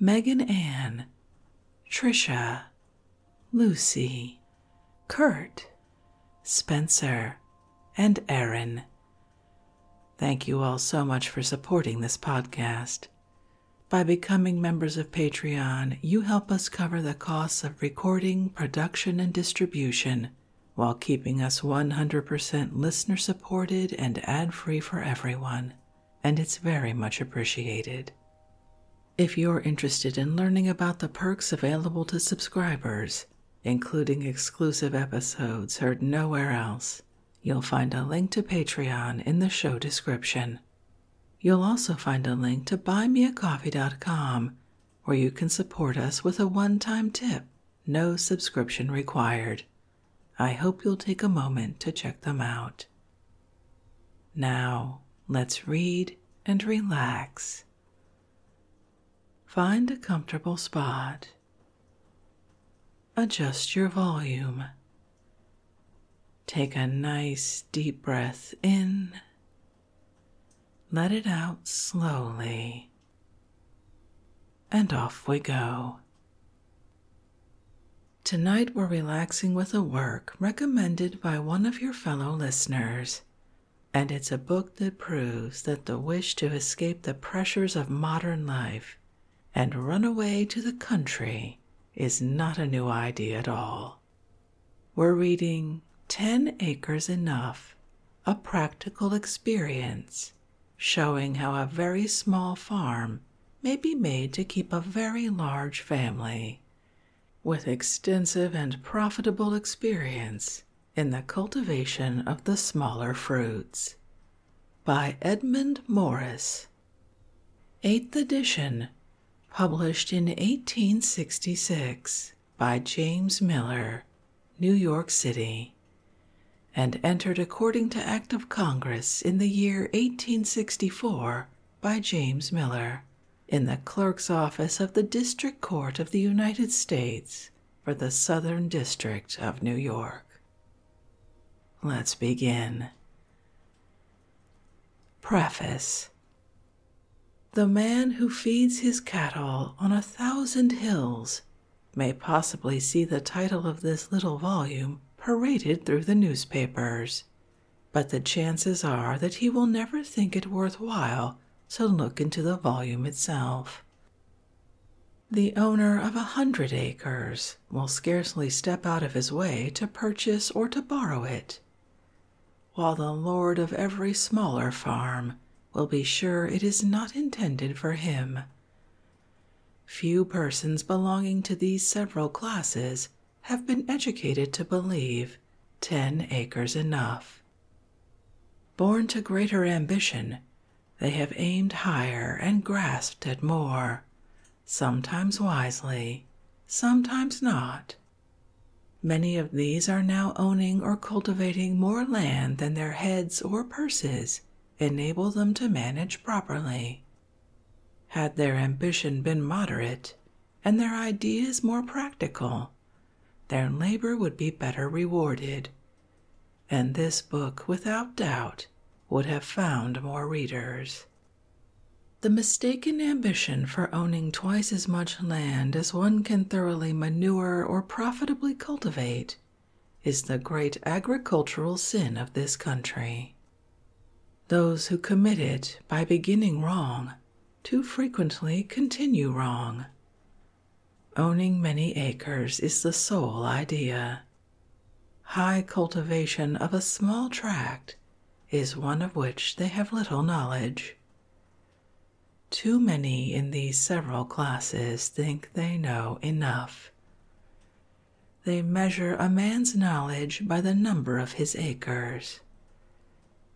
Megan Ann, Trisha, Lucy, Kurt, Spencer, and Aaron. Thank you all so much for supporting this podcast. By becoming members of Patreon, you help us cover the costs of recording, production, and distribution while keeping us 100% listener supported and ad free for everyone and it's very much appreciated. If you're interested in learning about the perks available to subscribers, including exclusive episodes heard nowhere else, you'll find a link to Patreon in the show description. You'll also find a link to buymeacoffee.com where you can support us with a one time tip, no subscription required. I hope you'll take a moment to check them out. Now, let's read and relax. Find a comfortable spot. Adjust your volume. Take a nice deep breath in. Let it out slowly. And off we go. Tonight we're relaxing with a work recommended by one of your fellow listeners. And it's a book that proves that the wish to escape the pressures of modern life and run away to the country is not a new idea at all. We're reading 10 Acres Enough A Practical Experience, showing how a very small farm may be made to keep a very large family with extensive and profitable experience in the cultivation of the smaller fruits. By Edmund Morris. Eighth edition, published in 1866 by James Miller, New York City, and entered according to Act of Congress in the year 1864 by James Miller in the Clerk's Office of the District Court of the United States for the Southern District of New York. Let's begin. Preface The man who feeds his cattle on a thousand hills may possibly see the title of this little volume paraded through the newspapers but the chances are that he will never think it worth while to look into the volume itself. The owner of a hundred acres will scarcely step out of his way to purchase or to borrow it, while the lord of every smaller farm will be sure it is not intended for him. Few persons belonging to these several classes have been educated to believe 10 acres enough. Born to greater ambition, they have aimed higher and grasped at more, sometimes wisely, sometimes not. Many of these are now owning or cultivating more land than their heads or purses enable them to manage properly. Had their ambition been moderate and their ideas more practical, their labor would be better rewarded, and this book, without doubt, would have found more readers. The mistaken ambition for owning twice as much land as one can thoroughly manure or profitably cultivate is the great agricultural sin of this country. Those who commit it by beginning wrong too frequently continue wrong. Owning many acres is the sole idea. High cultivation of a small tract is one of which they have little knowledge. Too many in these several classes think they know enough. They measure a man's knowledge by the number of his acres.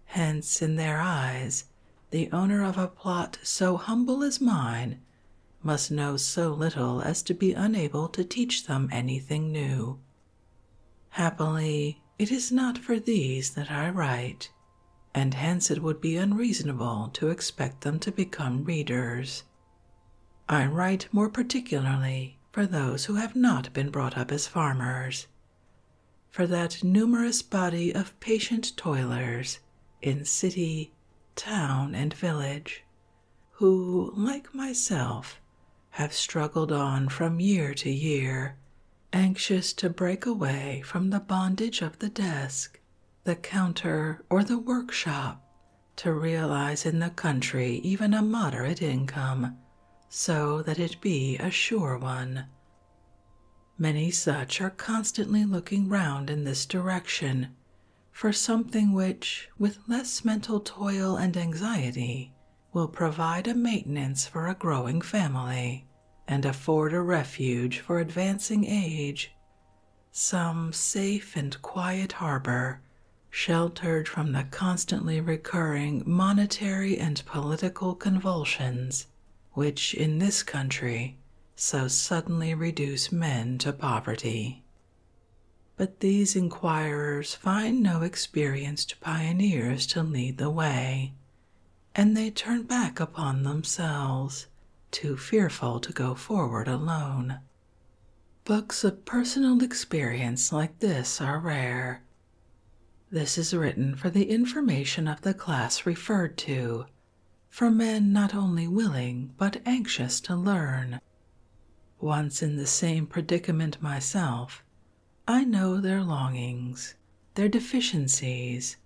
Hence, in their eyes, the owner of a plot so humble as mine must know so little as to be unable to teach them anything new. Happily, it is not for these that I write, and hence it would be unreasonable to expect them to become readers, I write more particularly for those who have not been brought up as farmers, for that numerous body of patient toilers in city, town, and village who, like myself, have struggled on from year to year, anxious to break away from the bondage of the desk, the counter, or the workshop, to realize in the country even a moderate income so that it be a sure one. Many such are constantly looking round in this direction for something which, with less mental toil and anxiety, will provide a maintenance for a growing family and afford a refuge for advancing age, some safe and quiet harbor sheltered from the constantly recurring monetary and political convulsions which in this country so suddenly reduce men to poverty. But these inquirers find no experienced pioneers to lead the way, and they turn back upon themselves, too fearful to go forward alone. Books of personal experience like this are rare. This is written for the information of the class referred to, for men not only willing but anxious to learn. Once in the same predicament myself, I know their longings, their deficiencies,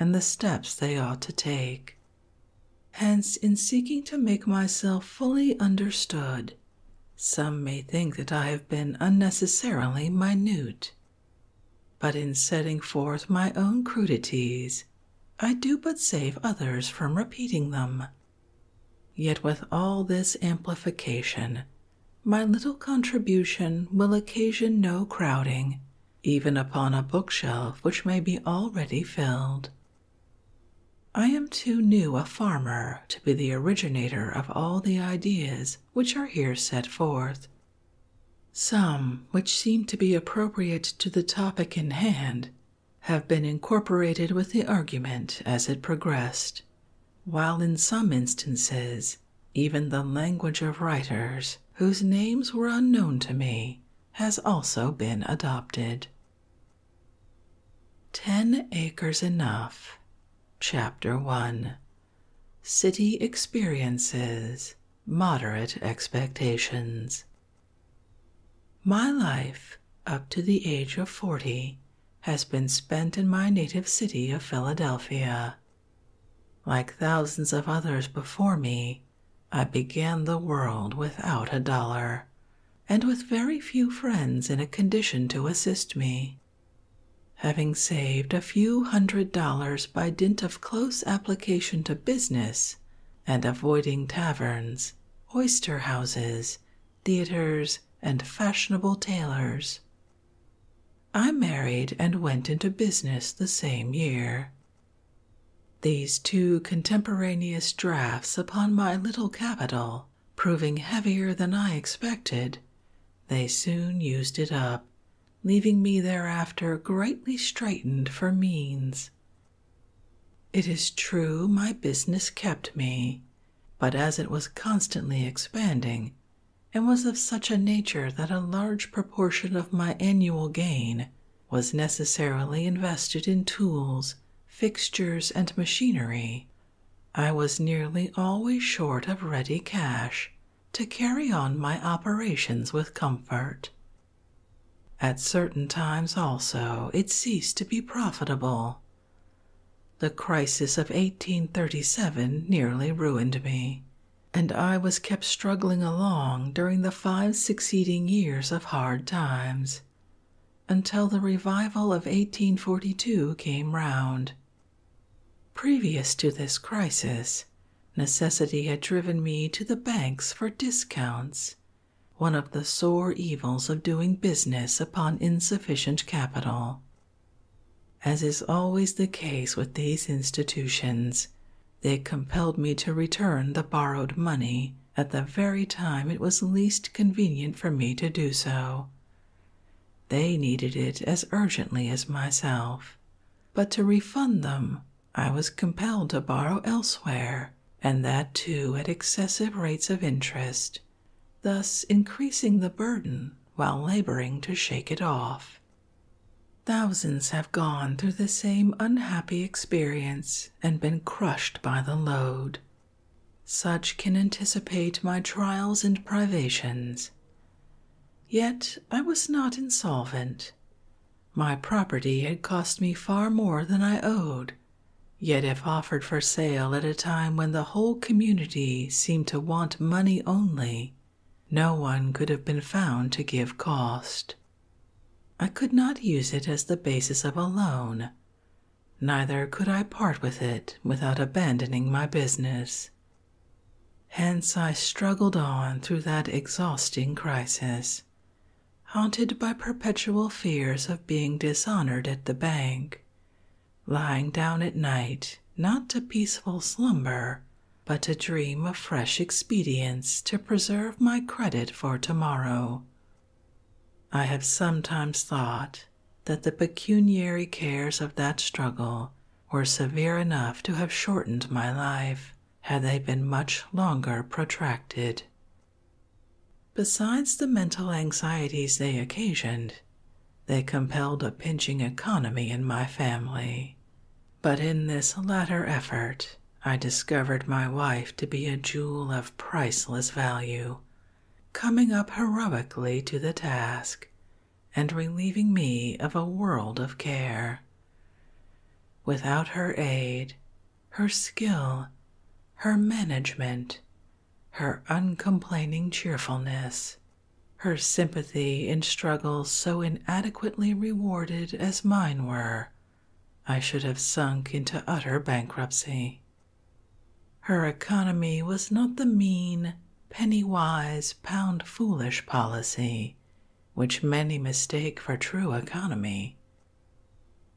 and the steps they ought to take. Hence, in seeking to make myself fully understood, some may think that I have been unnecessarily minute. But in setting forth my own crudities, I do but save others from repeating them. Yet with all this amplification, my little contribution will occasion no crowding, even upon a bookshelf which may be already filled. I am too new a farmer to be the originator of all the ideas which are here set forth. Some, which seem to be appropriate to the topic in hand, have been incorporated with the argument as it progressed, while in some instances, even the language of writers whose names were unknown to me has also been adopted. Ten Acres Enough, Chapter 1 City Experiences, Moderate Expectations. My life, up to the age of 40, has been spent in my native city of Philadelphia. Like thousands of others before me, I began the world without a dollar, and with very few friends in a condition to assist me. Having saved a few hundred dollars by dint of close application to business and avoiding taverns, oyster houses, theaters, and fashionable tailors, I married and went into business the same year. These two contemporaneous drafts upon my little capital proving heavier than I expected, they soon used it up, leaving me thereafter greatly straitened for means. It is true my business kept me, but as it was constantly expanding, and was of such a nature that a large proportion of my annual gain was necessarily invested in tools, fixtures, and machinery, I was nearly always short of ready cash to carry on my operations with comfort. At certain times also it ceased to be profitable. The crisis of 1837 nearly ruined me, and I was kept struggling along during the five succeeding years of hard times until the revival of 1842 came round Previous to this crisis, necessity had driven me to the banks for discounts, one of the sore evils of doing business upon insufficient capital. As is always the case with these institutions, they compelled me to return the borrowed money at the very time it was least convenient for me to do so, they needed it as urgently as myself, but to refund them, I was compelled to borrow elsewhere, and that too at excessive rates of interest, thus increasing the burden while laboring to shake it off. Thousands have gone through the same unhappy experience and been crushed by the load. Such can anticipate my trials and privations. Yet I was not insolvent. My property had cost me far more than I owed, yet, if offered for sale at a time when the whole community seemed to want money only, no one could have been found to give cost. I could not use it as the basis of a loan, neither could I part with it without abandoning my business. Hence I struggled on through that exhausting crisis, haunted by perpetual fears of being dishonored at the bank, lying down at night not to peaceful slumber, but to dream of fresh expedients to preserve my credit for tomorrow. I have sometimes thought that the pecuniary cares of that struggle were severe enough to have shortened my life had they been much longer protracted. Besides the mental anxieties they occasioned, they compelled a pinching economy in my family. But in this latter effort, I discovered my wife to be a jewel of priceless value, coming up heroically to the task and relieving me of a world of care. Without her aid, her skill, her management, her uncomplaining cheerfulness, her sympathy in struggles so inadequately rewarded as mine were, I should have sunk into utter bankruptcy. Her economy was not the mean, penny wise, pound foolish policy which many mistake for true economy.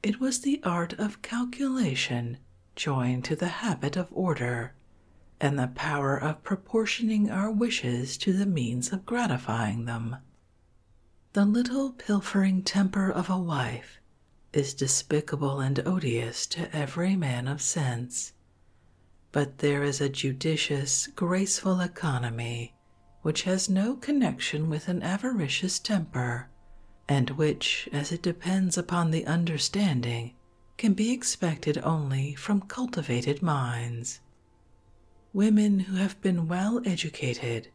It was the art of calculation joined to the habit of order and the power of proportioning our wishes to the means of gratifying them. The little pilfering temper of a wife is despicable and odious to every man of sense. But there is a judicious, graceful economy which has no connection with an avaricious temper, and which, as it depends upon the understanding, can be expected only from cultivated minds. Women who have been well educated,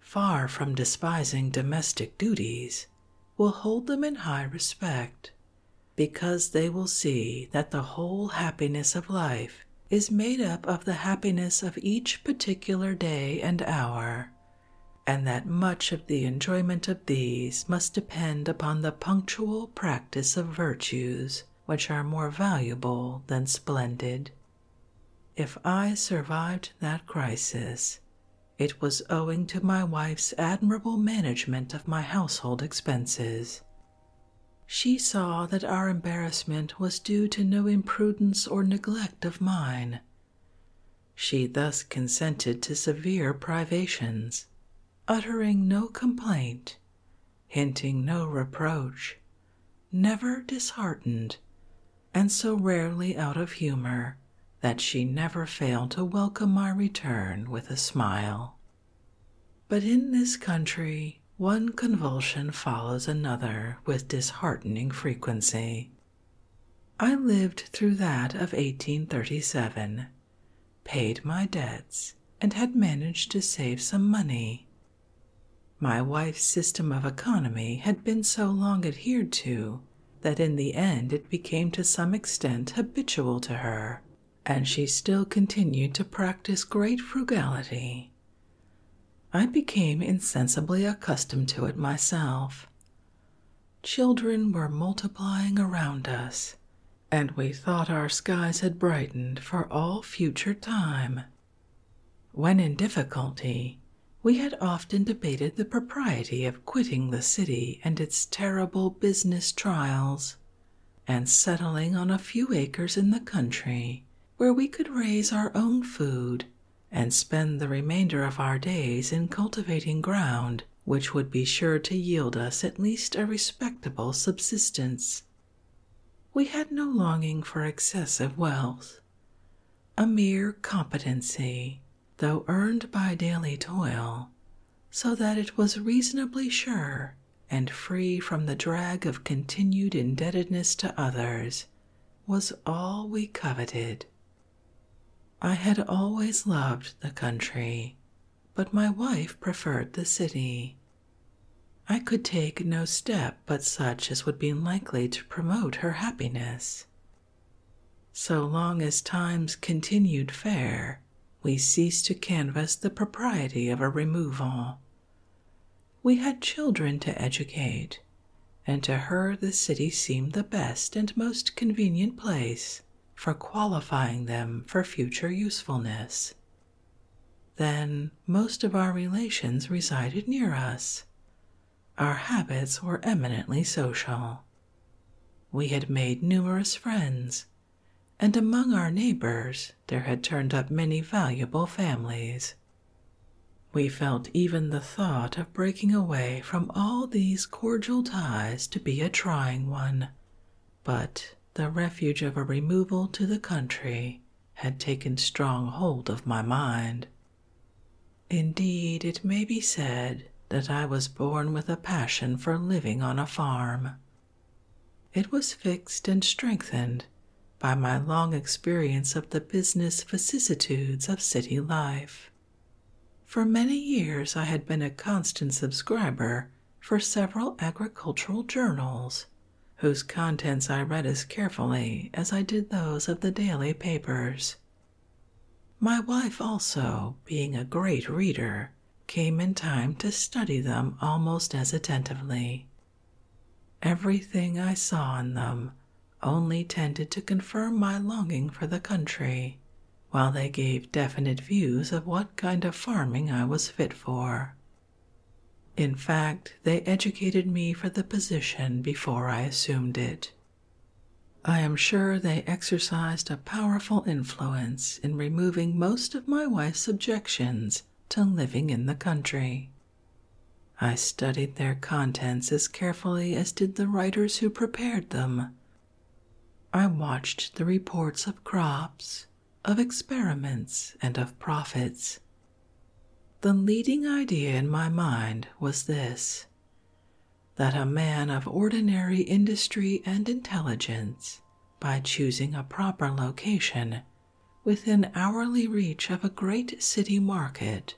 far from despising domestic duties, will hold them in high respect because they will see that the whole happiness of life is made up of the happiness of each particular day and hour, and that much of the enjoyment of these must depend upon the punctual practice of virtues which are more valuable than splendid. If I survived that crisis, it was owing to my wife's admirable management of my household expenses. She saw that our embarrassment was due to no imprudence or neglect of mine. She thus consented to severe privations, uttering no complaint, hinting no reproach, never disheartened, and so rarely out of humor that she never failed to welcome my return with a smile. But in this country, one convulsion follows another with disheartening frequency. I lived through that of 1837, paid my debts, and had managed to save some money. My wife's system of economy had been so long adhered to that in the end it became to some extent habitual to her and she still continued to practice great frugality. I became insensibly accustomed to it myself. Children were multiplying around us, and we thought our skies had brightened for all future time. When in difficulty, we had often debated the propriety of quitting the city and its terrible business trials and settling on a few acres in the country where we could raise our own food and spend the remainder of our days in cultivating ground which would be sure to yield us at least a respectable subsistence. We had no longing for excessive wealth. A mere competency, though earned by daily toil, so that it was reasonably sure and free from the drag of continued indebtedness to others, was all we coveted. I had always loved the country, but my wife preferred the city. I could take no step but such as would be likely to promote her happiness. So long as times continued fair, we ceased to canvass the propriety of a removal. We had children to educate, and to her the city seemed the best and most convenient place for qualifying them for future usefulness. Then most of our relations resided near us. Our habits were eminently social. We had made numerous friends and among our neighbors there had turned up many valuable families. We felt even the thought of breaking away from all these cordial ties to be a trying one, but the refuge of a removal to the country had taken strong hold of my mind. Indeed, it may be said that I was born with a passion for living on a farm, it was fixed and strengthened by my long experience of the business vicissitudes of city life. For many years I had been a constant subscriber for several agricultural journals, whose contents I read as carefully as I did those of the daily papers. My wife also, being a great reader, came in time to study them almost as attentively. Everything I saw in them only tended to confirm my longing for the country, while they gave definite views of what kind of farming I was fit for. In fact, they educated me for the position before I assumed it. I am sure they exercised a powerful influence in removing most of my wife's objections to living in the country. I studied their contents as carefully as did the writers who prepared them. I watched the reports of crops, of experiments, and of profits. The leading idea in my mind was this that a man of ordinary industry and intelligence by choosing a proper location within hourly reach of a great city market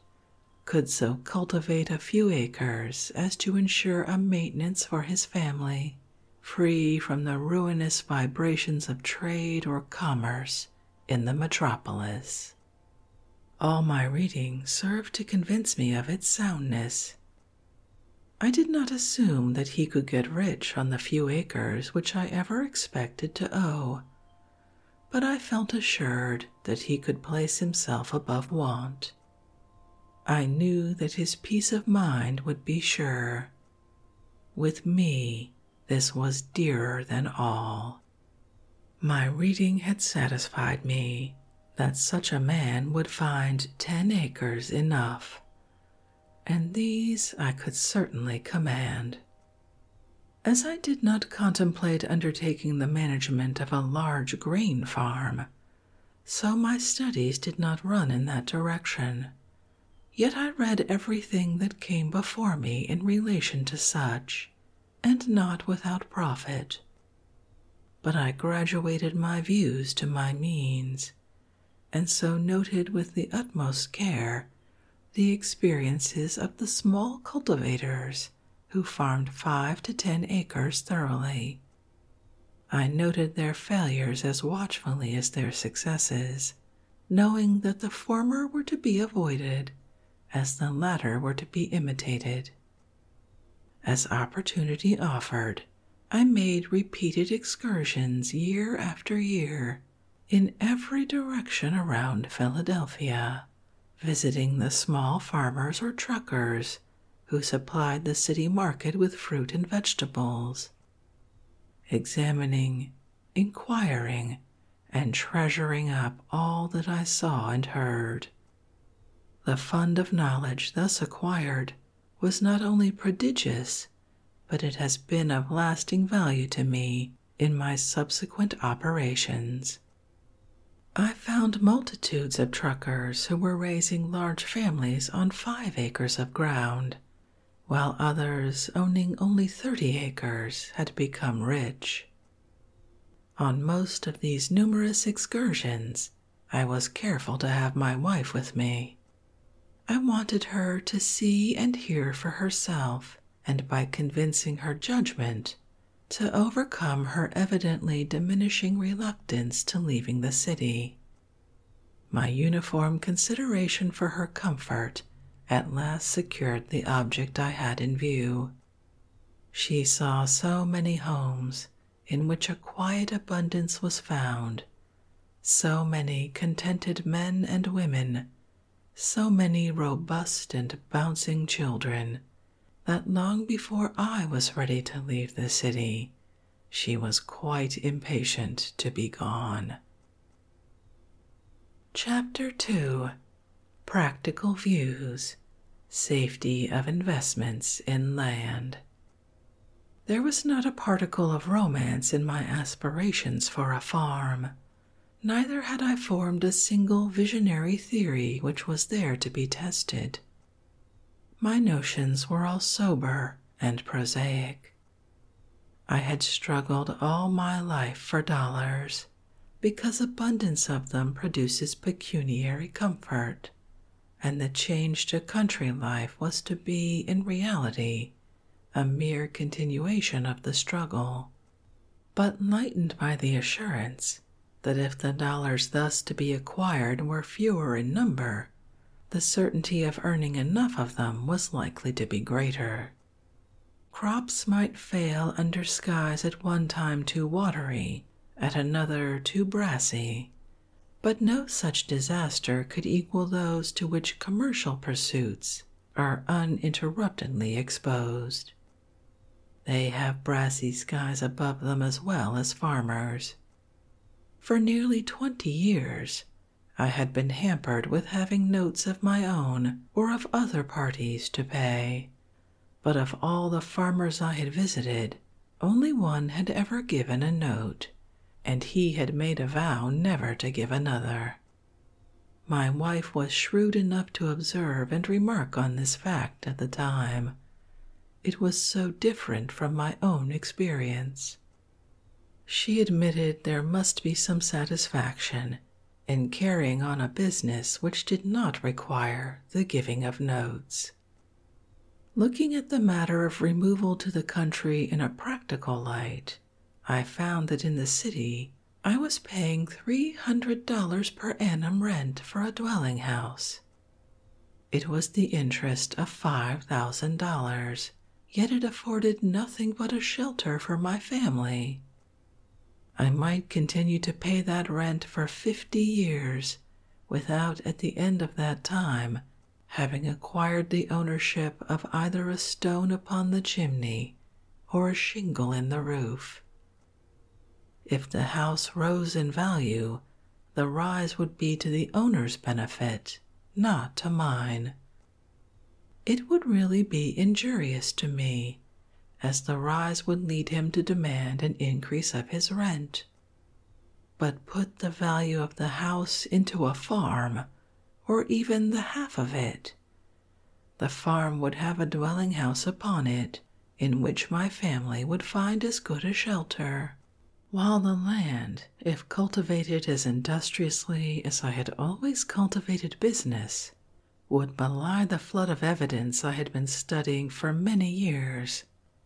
could so cultivate a few acres as to ensure a maintenance for his family free from the ruinous vibrations of trade or commerce in the metropolis all my reading served to convince me of its soundness I did not assume that he could get rich on the few acres which I ever expected to owe, but I felt assured that he could place himself above want. I knew that his peace of mind would be sure. With me, this was dearer than all. My reading had satisfied me that such a man would find ten acres enough, and these I could certainly command. As I did not contemplate undertaking the management of a large grain farm, so my studies did not run in that direction. Yet I read everything that came before me in relation to such, and not without profit. But I graduated my views to my means, and so noted with the utmost care the experiences of the small cultivators who farmed five to ten acres thoroughly. I noted their failures as watchfully as their successes, knowing that the former were to be avoided as the latter were to be imitated. As opportunity offered, I made repeated excursions year after year in every direction around Philadelphia, visiting the small farmers or truckers who supplied the city market with fruit and vegetables, examining, inquiring, and treasuring up all that I saw and heard. The fund of knowledge thus acquired was not only prodigious, but it has been of lasting value to me in my subsequent operations. I found multitudes of truckers who were raising large families on five acres of ground, while others owning only 30 acres had become rich. On most of these numerous excursions, I was careful to have my wife with me, I wanted her to see and hear for herself, and by convincing her judgment, to overcome her evidently diminishing reluctance to leaving the city. My uniform consideration for her comfort at last secured the object I had in view. She saw so many homes in which a quiet abundance was found so many contented men and women, so many robust and bouncing children, that long before I was ready to leave the city, she was quite impatient to be gone. Chapter 2 Practical Views Safety of Investments in Land there was not a particle of romance in my aspirations for a farm. Neither had I formed a single visionary theory which was there to be tested. My notions were all sober and prosaic. I had struggled all my life for dollars because abundance of them produces pecuniary comfort, and the change to country life was to be, in reality, a mere continuation of the struggle, but lightened by the assurance that if the dollars thus to be acquired were fewer in number, the certainty of earning enough of them was likely to be greater. Crops might fail under skies at one time too watery, at another too brassy, but no such disaster could equal those to which commercial pursuits are uninterruptedly exposed. They have brassy skies above them as well as farmers. For nearly twenty years, I had been hampered with having notes of my own or of other parties to pay, but of all the farmers I had visited, only one had ever given a note and he had made a vow never to give another. My wife was shrewd enough to observe and remark on this fact at the time. It was so different from my own experience. She admitted there must be some satisfaction in carrying on a business which did not require the giving of notes. Looking at the matter of removal to the country in a practical light, I found that in the city I was paying $300 per annum rent for a dwelling house. It was the interest of $5,000, yet it afforded nothing but a shelter for my family. I might continue to pay that rent for fifty years without at the end of that time having acquired the ownership of either a stone upon the chimney or a shingle in the roof. If the house rose in value, the rise would be to the owner's benefit, not to mine. It would really be injurious to me, as the rise would lead him to demand an increase of his rent. But put the value of the house into a farm or even the half of it. The farm would have a dwelling house upon it, in which my family would find as good a shelter, while the land, if cultivated as industriously as I had always cultivated business, would belie the flood of evidence I had been studying for many years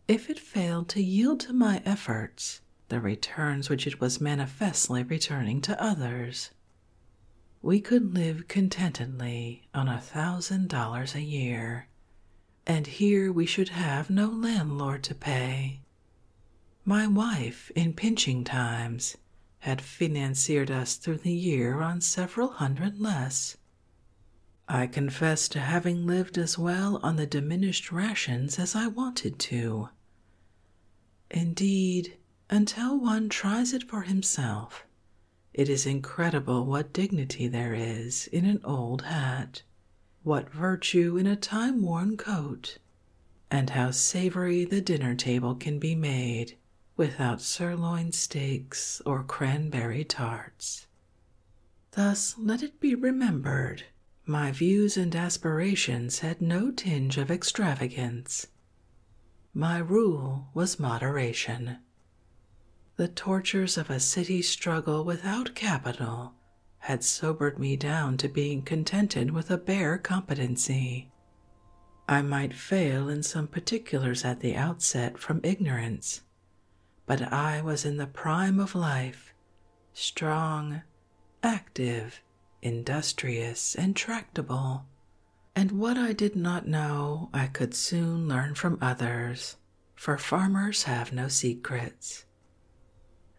if it failed to yield to my efforts the returns which it was manifestly returning to others. We could live contentedly on a thousand dollars a year, and here we should have no landlord to pay. My wife, in pinching times, had financiered us through the year on several hundred less. I confess to having lived as well on the diminished rations as I wanted to. Indeed, until one tries it for himself, it is incredible what dignity there is in an old hat, what virtue in a time worn coat, and how savory the dinner table can be made without sirloin steaks or cranberry tarts. Thus let it be remembered my views and aspirations had no tinge of extravagance. My rule was moderation. The tortures of a city struggle without capital had sobered me down to being contented with a bare competency. I might fail in some particulars at the outset from ignorance, but I was in the prime of life, strong, active, industrious, and tractable, and what I did not know I could soon learn from others, for farmers have no secrets.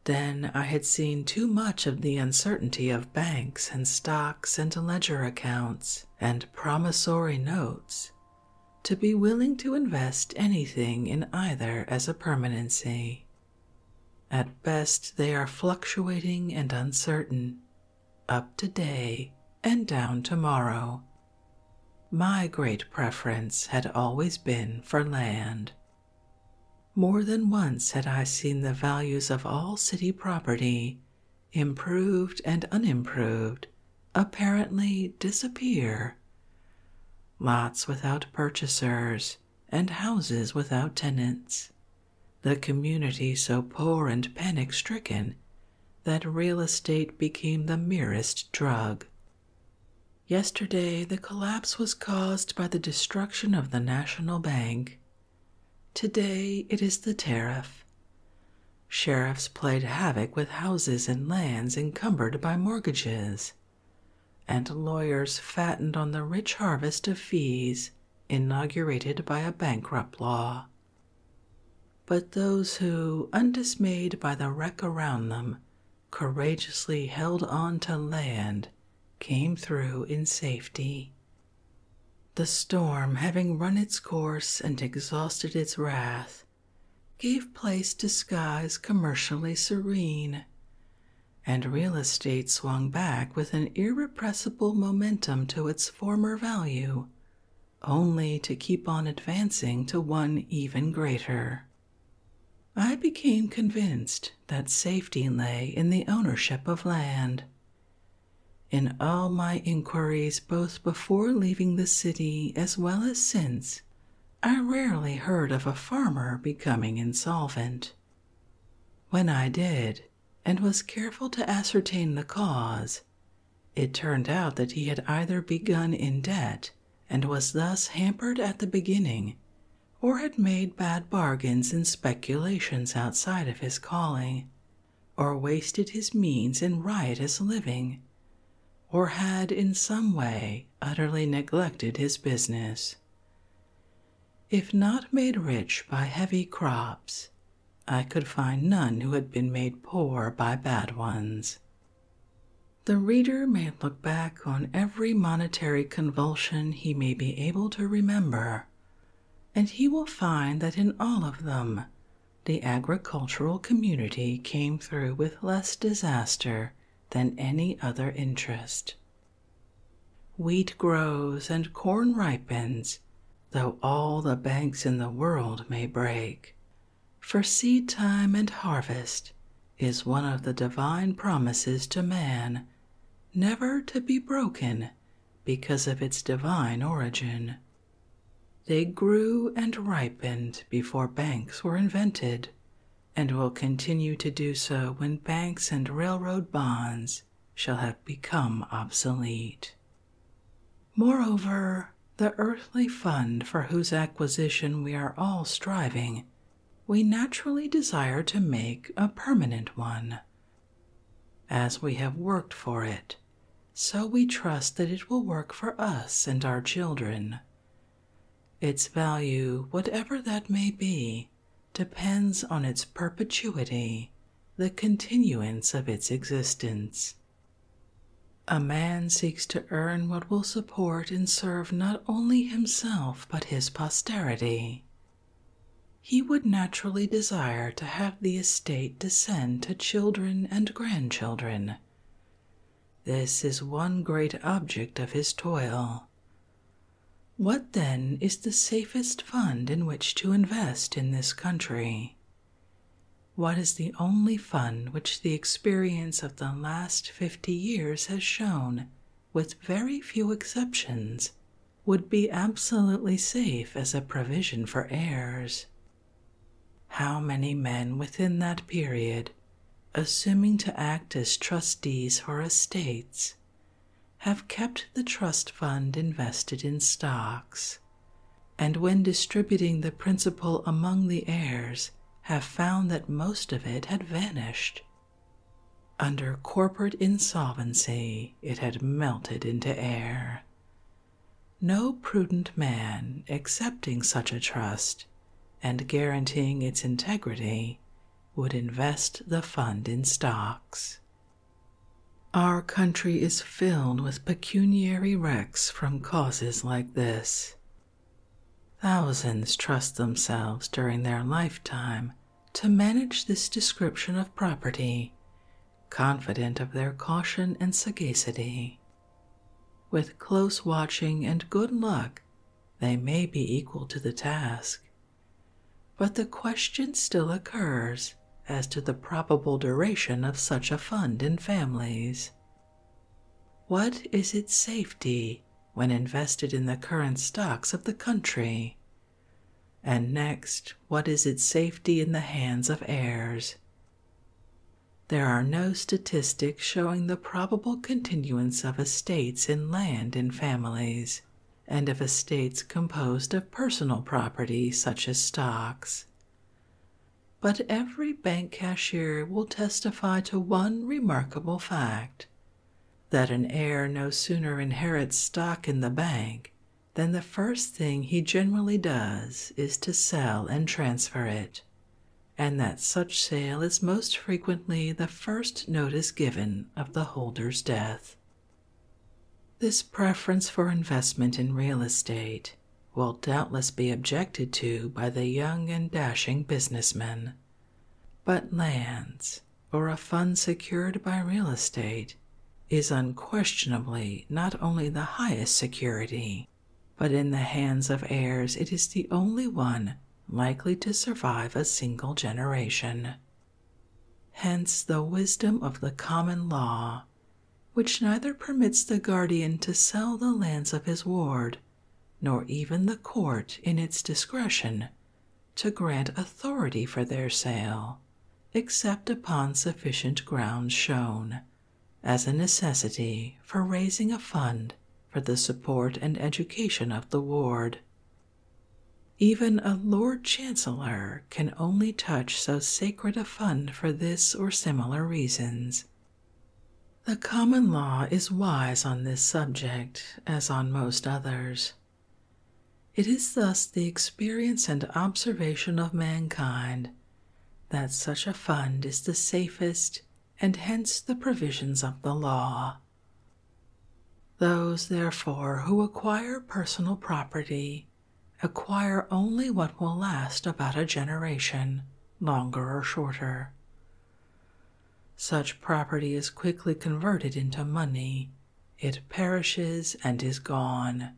Then I had seen too much of the uncertainty of banks and stocks and ledger accounts and promissory notes to be willing to invest anything in either as a permanency. At best, they are fluctuating and uncertain, up today and down tomorrow. My great preference had always been for land. More than once had I seen the values of all city property, improved and unimproved, apparently disappear. Lots without purchasers and houses without tenants, the community so poor and panic stricken that real estate became the merest drug. Yesterday, the collapse was caused by the destruction of the National Bank. Today, it is the tariff. Sheriffs played havoc with houses and lands encumbered by mortgages, and lawyers fattened on the rich harvest of fees inaugurated by a bankrupt law. But those who, undismayed by the wreck around them, courageously held on to land came through in safety. The storm, having run its course and exhausted its wrath, gave place to skies commercially serene, and real estate swung back with an irrepressible momentum to its former value, only to keep on advancing to one even greater. I became convinced that safety lay in the ownership of land. In all my inquiries, both before leaving the city as well as since, I rarely heard of a farmer becoming insolvent. When I did, and was careful to ascertain the cause. It turned out that he had either begun in debt and was thus hampered at the beginning, or had made bad bargains and speculations outside of his calling, or wasted his means in riotous living, or had in some way utterly neglected his business if not made rich by heavy crops, I could find none who had been made poor by bad ones. The reader may look back on every monetary convulsion he may be able to remember, and he will find that in all of them the agricultural community came through with less disaster than any other interest. Wheat grows and corn ripens, though all the banks in the world may break. For seed time and harvest is one of the divine promises to man, never to be broken because of its divine origin. They grew and ripened before banks were invented, and will continue to do so when banks and railroad bonds shall have become obsolete. Moreover, the earthly fund for whose acquisition we are all striving, we naturally desire to make a permanent one. As we have worked for it, so we trust that it will work for us and our children. Its value, whatever that may be, depends on its perpetuity, the continuance of its existence. A man seeks to earn what will support and serve not only himself but his posterity. He would naturally desire to have the estate descend to children and grandchildren. This is one great object of his toil. What then is the safest fund in which to invest in this country? What is the only fund which the experience of the last 50 years has shown, with very few exceptions, would be absolutely safe as a provision for heirs? How many men within that period, assuming to act as trustees for estates, have kept the trust fund invested in stocks, and when distributing the principal among the heirs, have found that most of it had vanished. Under corporate insolvency, it had melted into air. No prudent man accepting such a trust and guaranteeing its integrity would invest the fund in stocks. Our country is filled with pecuniary wrecks from causes like this. Thousands trust themselves during their lifetime to manage this description of property, confident of their caution and sagacity. With close watching and good luck, they may be equal to the task. But the question still occurs as to the probable duration of such a fund in families. What is its safety when invested in the current stocks of the country? And next, what is its safety in the hands of heirs? There are no statistics showing the probable continuance of estates in land in families and of estates composed of personal property such as stocks. But every bank cashier will testify to one remarkable fact that an heir no sooner inherits stock in the bank than the first thing he generally does is to sell and transfer it, and that such sale is most frequently the first notice given of the holder's death. This preference for investment in real estate will doubtless be objected to by the young and dashing business men, But lands, or a fund secured by real estate, is unquestionably not only the highest security, but in the hands of heirs it is the only one likely to survive a single generation. Hence the wisdom of the common law, which neither permits the guardian to sell the lands of his ward, nor even the court in its discretion to grant authority for their sale, except upon sufficient grounds shown as a necessity for raising a fund for the support and education of the ward. Even a Lord Chancellor can only touch so sacred a fund for this or similar reasons. The common law is wise on this subject, as on most others. It is thus the experience and observation of mankind that such a fund is the safest and hence the provisions of the law. Those, therefore, who acquire personal property Acquire only what will last about a generation, longer or shorter. Such property is quickly converted into money, it perishes and is gone.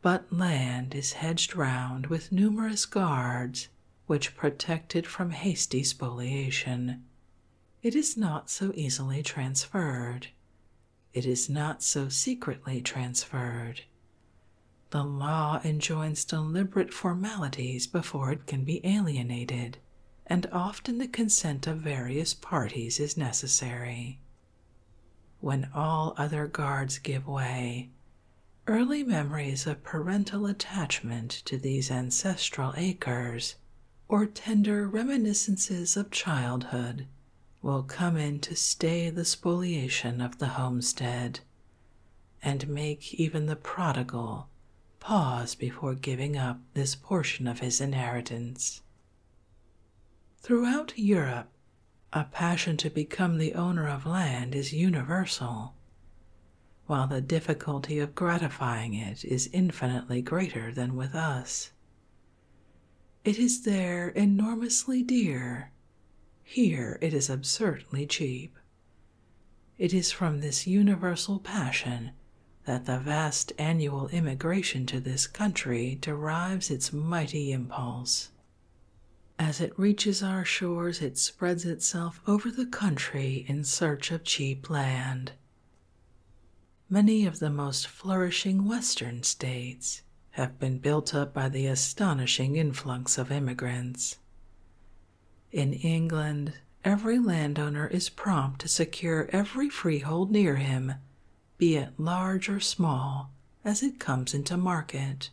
But land is hedged round with numerous guards which protect it from hasty spoliation. It is not so easily transferred, it is not so secretly transferred. The law enjoins deliberate formalities before it can be alienated, and often the consent of various parties is necessary. When all other guards give way, early memories of parental attachment to these ancestral acres, or tender reminiscences of childhood, will come in to stay the spoliation of the homestead and make even the prodigal pause before giving up this portion of his inheritance. Throughout Europe, a passion to become the owner of land is universal, while the difficulty of gratifying it is infinitely greater than with us, it is there enormously dear. Here it is absurdly cheap. It is from this universal passion that the vast annual immigration to this country derives its mighty impulse. As it reaches our shores, it spreads itself over the country in search of cheap land. Many of the most flourishing western states have been built up by the astonishing influx of immigrants. In England, every landowner is prompt to secure every freehold near him, be it large or small, as it comes into market.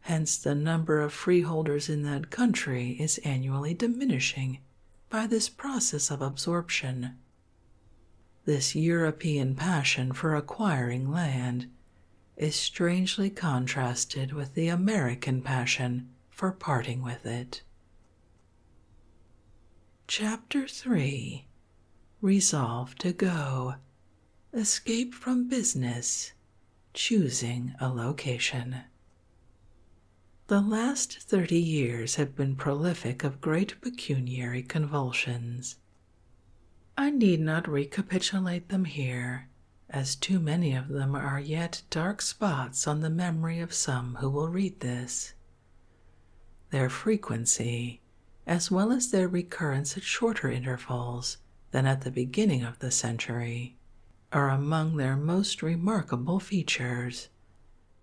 Hence, the number of freeholders in that country is annually diminishing by this process of absorption this European passion for acquiring land is strangely contrasted with the American passion for parting with it. Chapter 3 Resolve to Go Escape from Business Choosing a Location. The last thirty years have been prolific of great pecuniary convulsions. I need not recapitulate them here, as too many of them are yet dark spots on the memory of some who will read this. Their frequency, as well as their recurrence at shorter intervals than at the beginning of the century, are among their most remarkable features,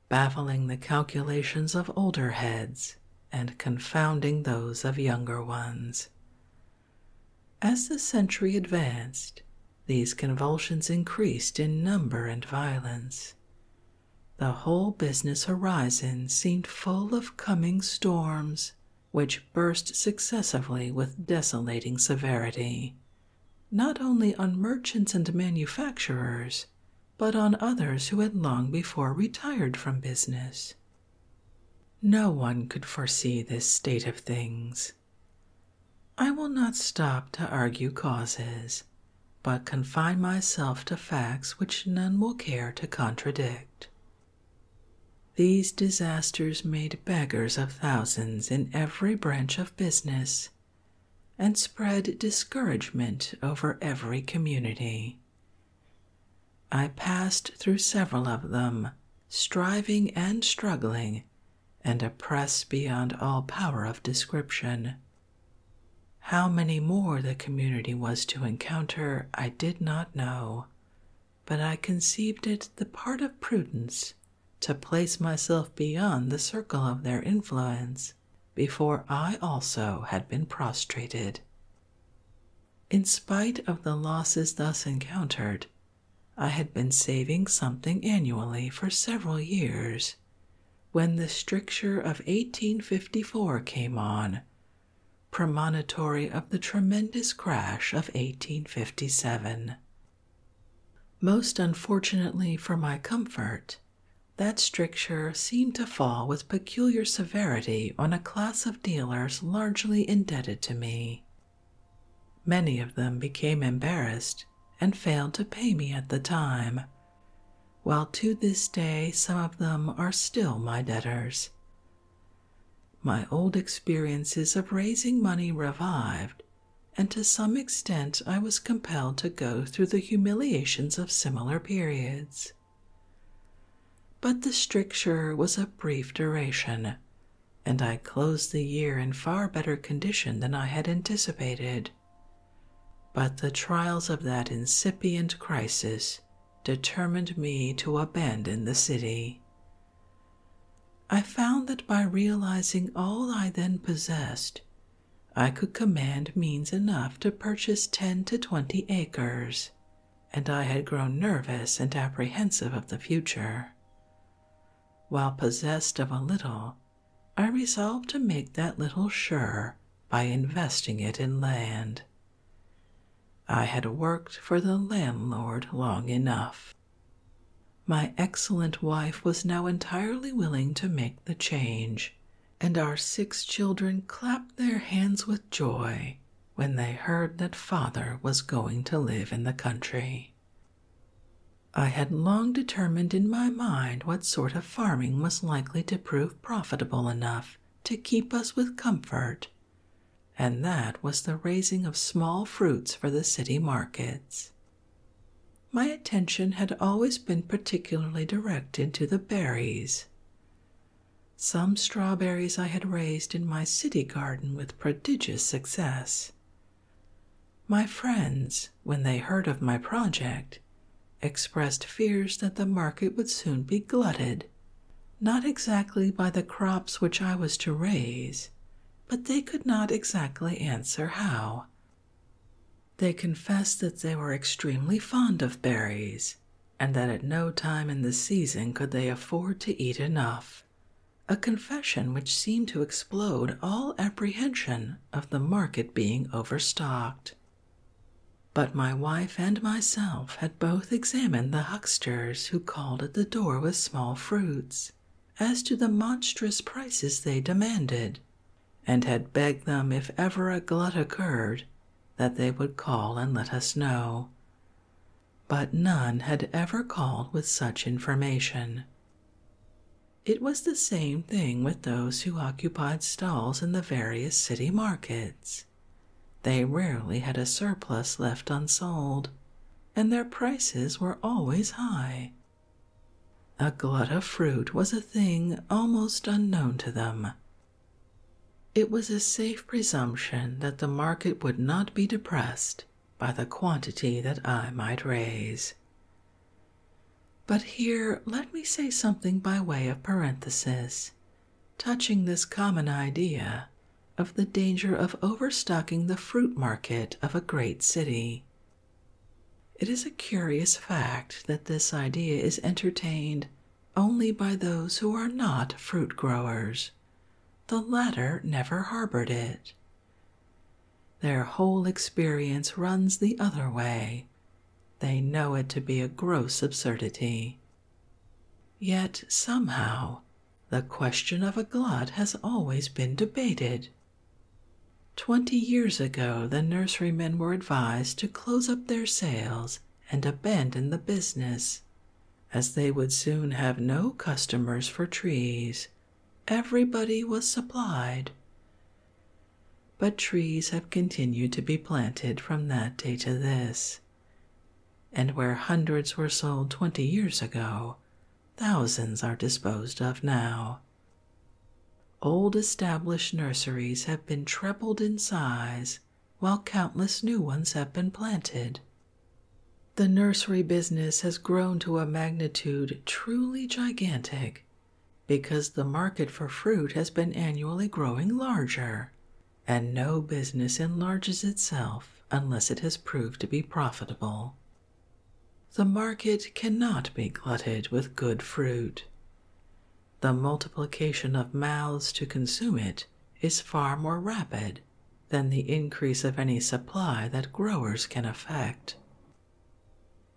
baffling the calculations of older heads and confounding those of younger ones. As the century advanced, these convulsions increased in number and violence. The whole business horizon seemed full of coming storms, which burst successively with desolating severity, not only on merchants and manufacturers, but on others who had long before retired from business. No one could foresee this state of things. I will not stop to argue causes, but confine myself to facts which none will care to contradict. These disasters made beggars of thousands in every branch of business and spread discouragement over every community. I passed through several of them, striving and struggling, and oppressed beyond all power of description. How many more the community was to encounter, I did not know, but I conceived it the part of prudence to place myself beyond the circle of their influence before I also had been prostrated. In spite of the losses thus encountered, I had been saving something annually for several years when the stricture of 1854 came on, premonitory of the tremendous crash of 1857. Most unfortunately for my comfort, that stricture seemed to fall with peculiar severity on a class of dealers largely indebted to me. Many of them became embarrassed and failed to pay me at the time, while to this day some of them are still my debtors. My old experiences of raising money revived, and to some extent I was compelled to go through the humiliations of similar periods. But the stricture was of brief duration, and I closed the year in far better condition than I had anticipated. But the trials of that incipient crisis determined me to abandon the city. I found that by realizing all I then possessed, I could command means enough to purchase ten to twenty acres and I had grown nervous and apprehensive of the future. While possessed of a little, I resolved to make that little sure by investing it in land. I had worked for the landlord long enough. My excellent wife was now entirely willing to make the change, and our six children clapped their hands with joy when they heard that father was going to live in the country. I had long determined in my mind what sort of farming was likely to prove profitable enough to keep us with comfort, and that was the raising of small fruits for the city markets. My attention had always been particularly directed to the berries. Some strawberries I had raised in my city garden with prodigious success. My friends, when they heard of my project, expressed fears that the market would soon be glutted, not exactly by the crops which I was to raise, but they could not exactly answer how. They confessed that they were extremely fond of berries and that at no time in the season could they afford to eat enough. A confession which seemed to explode all apprehension of the market being overstocked. But my wife and myself had both examined the hucksters who called at the door with small fruits as to the monstrous prices they demanded, and had begged them if ever a glut occurred that they would call and let us know. But none had ever called with such information. It was the same thing with those who occupied stalls in the various city markets. They rarely had a surplus left unsold, and their prices were always high. A glut of fruit was a thing almost unknown to them it was a safe presumption that the market would not be depressed by the quantity that I might raise. But here let me say something by way of parenthesis touching this common idea of the danger of overstocking the fruit market of a great city. It is a curious fact that this idea is entertained only by those who are not fruit growers. The latter never harbored it. Their whole experience runs the other way. They know it to be a gross absurdity. Yet somehow, the question of a glut has always been debated. Twenty years ago, the nurserymen were advised to close up their sales and abandon the business, as they would soon have no customers for trees. Everybody was supplied. But trees have continued to be planted from that day to this, and where hundreds were sold twenty years ago, thousands are disposed of now. Old established nurseries have been trebled in size while countless new ones have been planted. The nursery business has grown to a magnitude truly gigantic because the market for fruit has been annually growing larger, and no business enlarges itself unless it has proved to be profitable. The market cannot be glutted with good fruit the multiplication of mouths to consume it is far more rapid than the increase of any supply that growers can effect.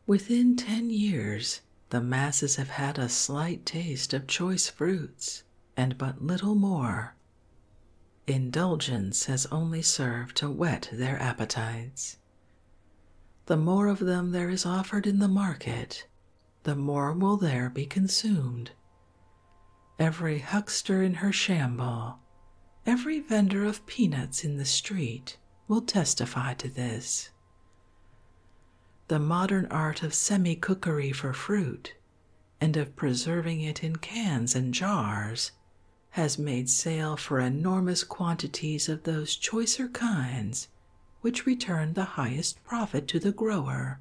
Within ten years, the masses have had a slight taste of choice fruits and but little more. Indulgence has only served to whet their appetites. The more of them there is offered in the market, the more will there be consumed. Every huckster in her shambles, every vendor of peanuts in the street will testify to this. The modern art of semi cookery for fruit and of preserving it in cans and jars has made sale for enormous quantities of those choicer kinds which return the highest profit to the grower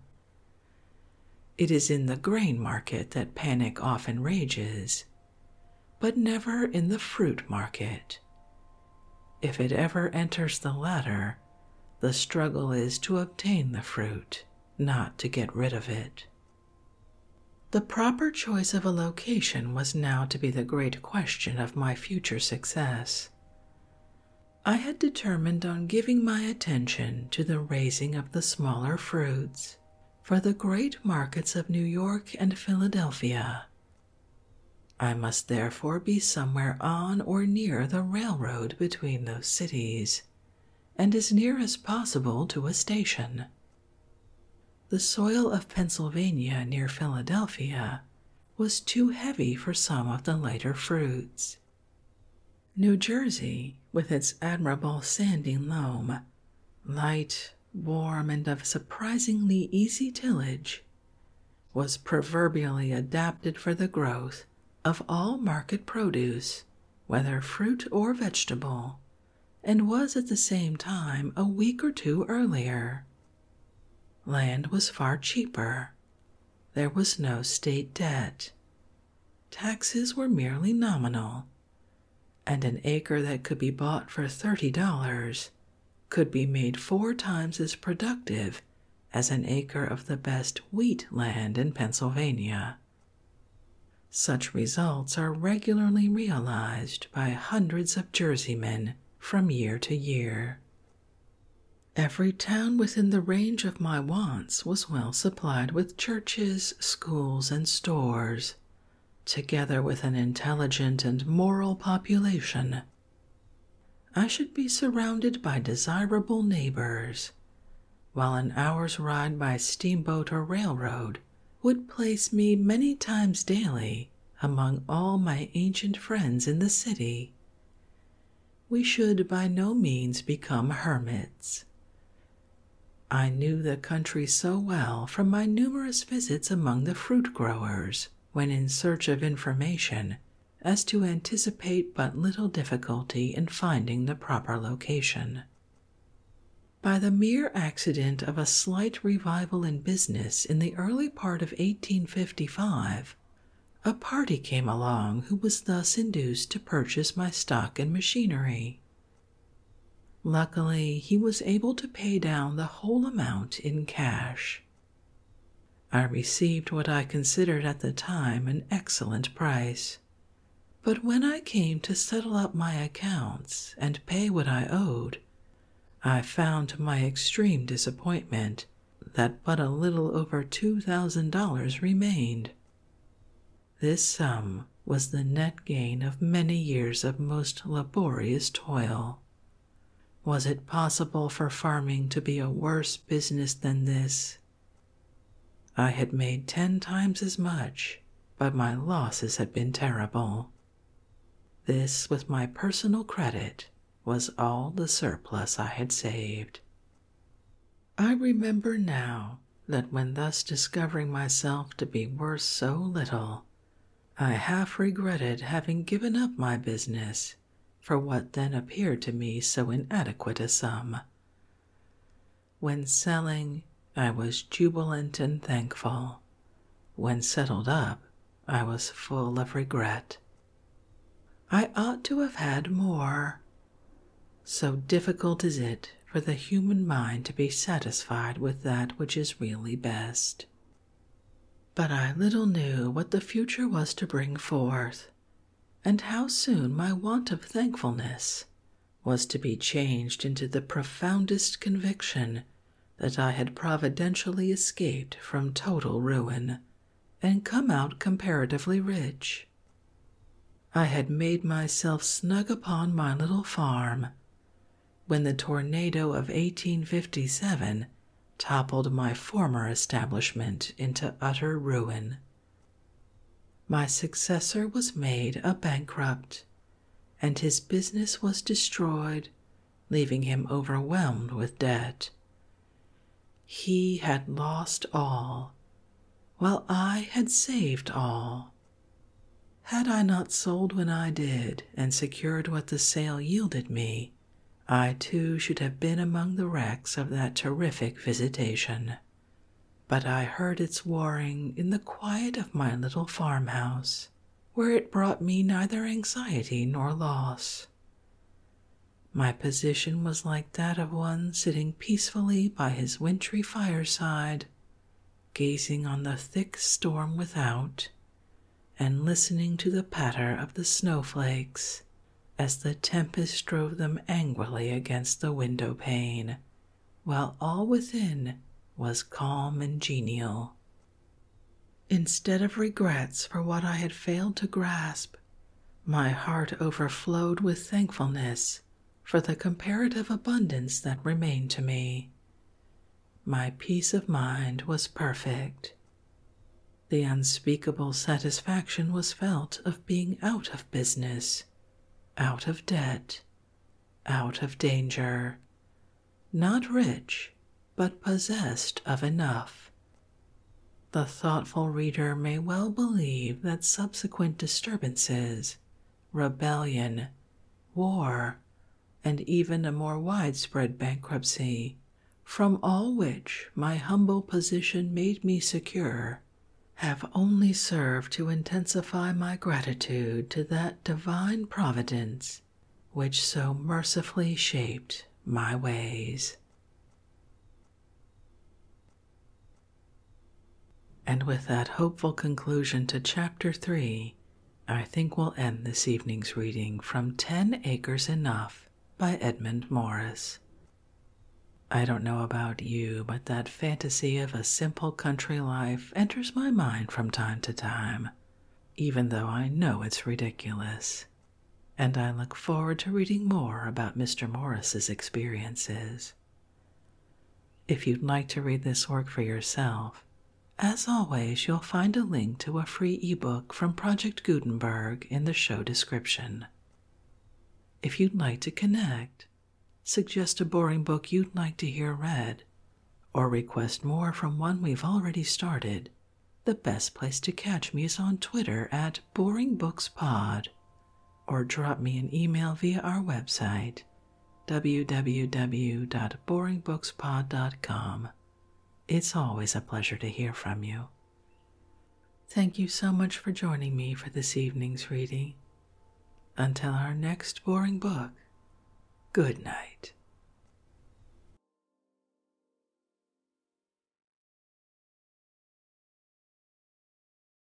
it is in the grain market that panic often rages, but never in the fruit market. If it ever enters the latter, the struggle is to obtain the fruit, not to get rid of it. The proper choice of a location was now to be the great question of my future success. I had determined on giving my attention to the raising of the smaller fruits for the great markets of New York and Philadelphia. I must therefore be somewhere on or near the railroad between those cities, and as near as possible to a station. The soil of Pennsylvania near Philadelphia was too heavy for some of the lighter fruits, New Jersey, with its admirable sandy loam, light, warm, and of surprisingly easy tillage, was proverbially adapted for the growth of all market produce, whether fruit or vegetable, and was at the same time a week or two earlier. Land was far cheaper, there was no state debt. Taxes were merely nominal, and an acre that could be bought for $30 could be made four times as productive as an acre of the best wheat land in Pennsylvania. Such results are regularly realized by hundreds of Jerseymen from year to year. Every town within the range of my wants was well supplied with churches, schools, and stores, together with an intelligent and moral population. I should be surrounded by desirable neighbors, while an hour's ride by steamboat or railroad would place me many times daily among all my ancient friends in the city we should by no means become hermits. I knew the country so well from my numerous visits among the fruit growers when in search of information as to anticipate but little difficulty in finding the proper location. By the mere accident of a slight revival in business in the early part of 1855, a party came along who was thus induced to purchase my stock and machinery. Luckily, he was able to pay down the whole amount in cash. I received what I considered at the time an excellent price, but when I came to settle up my accounts and pay what I owed, I found to my extreme disappointment that but a little over two thousand dollars remained. This sum was the net gain of many years of most laborious toil. Was it possible for farming to be a worse business than this? I had made ten times as much, but my losses had been terrible. This, with my personal credit, was all the surplus I had saved. I remember now that when thus discovering myself to be worth so little, I half regretted having given up my business for what then appeared to me so inadequate a sum. When selling, I was jubilant and thankful. When settled up, I was full of regret. I ought to have had more, so difficult is it for the human mind to be satisfied with that which is really best. But I little knew what the future was to bring forth, and how soon my want of thankfulness was to be changed into the profoundest conviction that I had providentially escaped from total ruin and come out comparatively rich. I had made myself snug upon my little farm when the tornado of 1857 toppled my former establishment into utter ruin. My successor was made a bankrupt, and his business was destroyed, leaving him overwhelmed with debt. He had lost all while I had saved all. Had I not sold when I did and secured what the sale yielded me, I too should have been among the wrecks of that terrific visitation. But I heard its warring in the quiet of my little farmhouse, where it brought me neither anxiety nor loss. My position was like that of one sitting peacefully by his wintry fireside, gazing on the thick storm without, and listening to the patter of the snowflakes as the tempest drove them angrily against the window pane, while all within was calm and genial. Instead of regrets for what I had failed to grasp, my heart overflowed with thankfulness for the comparative abundance that remained to me. My peace of mind was perfect. The unspeakable satisfaction was felt of being out of business, out of debt, out of danger, not rich, but possessed of enough. The thoughtful reader may well believe that subsequent subsequent disturbances, rebellion, war, and even a more widespread bankruptcy, from all which my humble position made me secure, have only served to intensify my gratitude to that divine providence which so mercifully shaped my ways. And with that hopeful conclusion to Chapter 3, I think we'll end this evening's reading from Ten Acres Enough by Edmund Morris. I don't know about you, but that fantasy of a simple country life enters my mind from time to time, even though I know it's ridiculous. And I look forward to reading more about Mr. Morris's experiences if you'd like to read this work for yourself, as always, you'll find a link to a free ebook from Project Gutenberg in the show description. If you'd like to connect, suggest a boring book you'd like to hear read, or request more from one we've already started, the best place to catch me is on Twitter at BoringBooksPod or drop me an email via our website www.boringbookspod.com. It's always a pleasure to hear from you. Thank you so much for joining me for this evening's reading. Until our next boring book, good night.